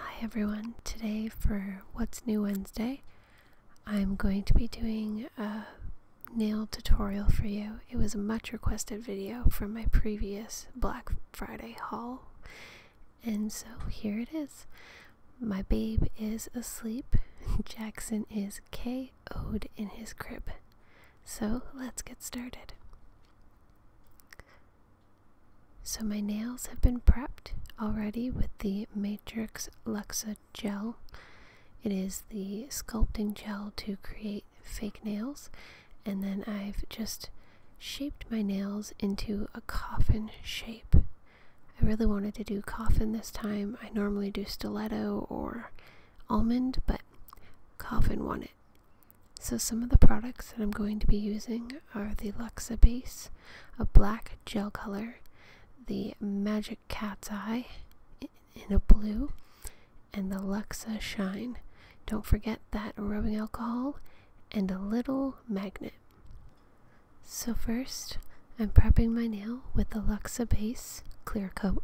Hi everyone, today for What's New Wednesday, I'm going to be doing a nail tutorial for you. It was a much requested video from my previous Black Friday haul and so here it is. My babe is asleep. Jackson is KO'd in his crib. So let's get started. So my nails have been prepped already with the Matrix Luxa gel. It is the sculpting gel to create fake nails. And then I've just shaped my nails into a coffin shape. I really wanted to do coffin this time. I normally do stiletto or almond, but coffin won it. So some of the products that I'm going to be using are the Luxa base, a black gel color, the Magic Cat's Eye in a blue, and the Luxa Shine. Don't forget that rubbing alcohol and a little magnet. So, first, I'm prepping my nail with the Luxa Base Clear Coat.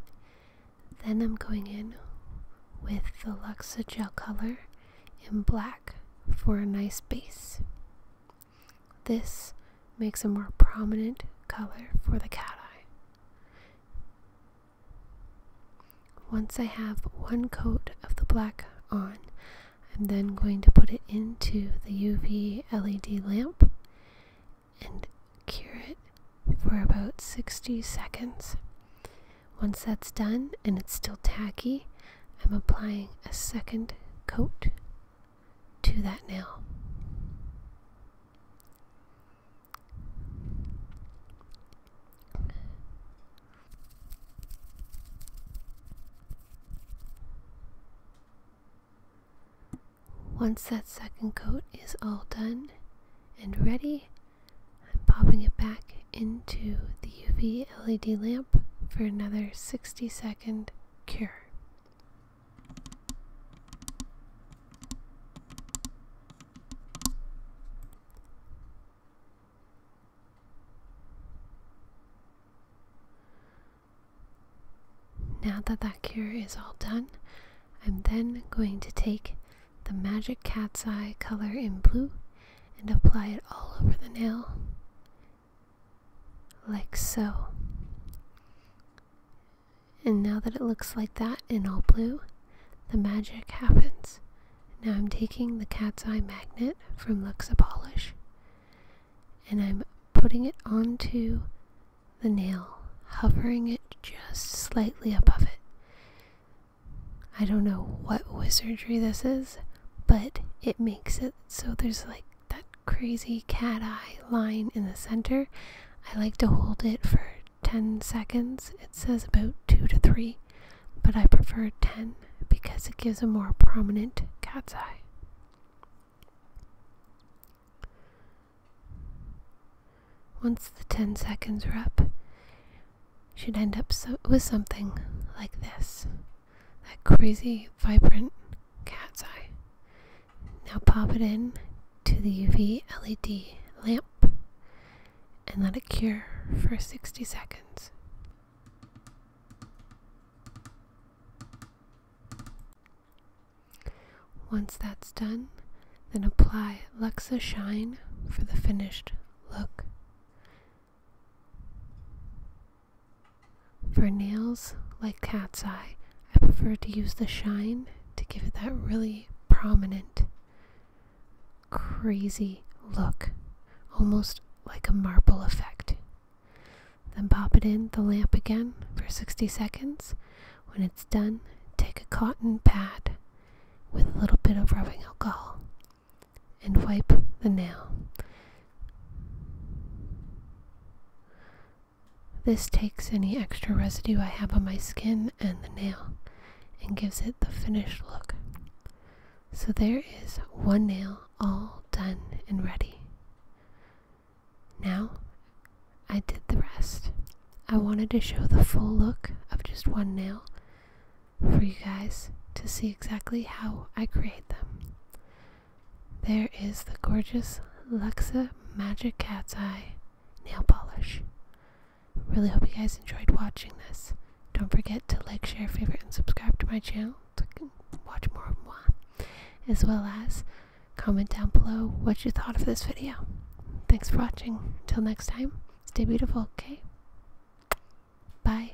Then, I'm going in with the Luxa Gel Color in black for a nice base. This makes a more prominent color for the cat eye. Once I have one coat of the black on, I'm then going to put it into the UV LED lamp and cure it for about 60 seconds. Once that's done and it's still tacky, I'm applying a second coat to that nail. Once that second coat is all done and ready, I'm popping it back into the UV LED lamp for another 60 second cure. Now that that cure is all done, I'm then going to take the magic cat's eye color in blue and apply it all over the nail, like so. And now that it looks like that in all blue, the magic happens. Now I'm taking the cat's eye magnet from Luxa Polish and I'm putting it onto the nail, hovering it just slightly above it. I don't know what wizardry this is, but it makes it so there's like that crazy cat eye line in the center. I like to hold it for 10 seconds. It says about 2 to 3, but I prefer 10 because it gives a more prominent cat's eye. Once the 10 seconds are up, should end up so with something like this that crazy, vibrant cat's eye. Now pop it in to the UV LED lamp and let it cure for 60 seconds. Once that's done, then apply Luxa Shine for the finished look. For nails, like cat's eye, I prefer to use the shine to give it that really prominent, crazy look, almost like a marble effect. Then pop it in the lamp again for 60 seconds. When it's done, take a cotton pad with a little bit of rubbing alcohol and wipe the nail. This takes any extra residue I have on my skin and the nail and gives it the finished look. So there is one nail all done and ready. Now I did the rest. I wanted to show the full look of just one nail for you guys to see exactly how I create them. There is the gorgeous Luxa Magic Cat's Eye nail polish. Really hope you guys enjoyed watching this. Don't forget to like, share, favorite, and subscribe to my channel to watch more of moi, as well as Comment down below what you thought of this video. Thanks for watching. Until next time, stay beautiful, okay? Bye.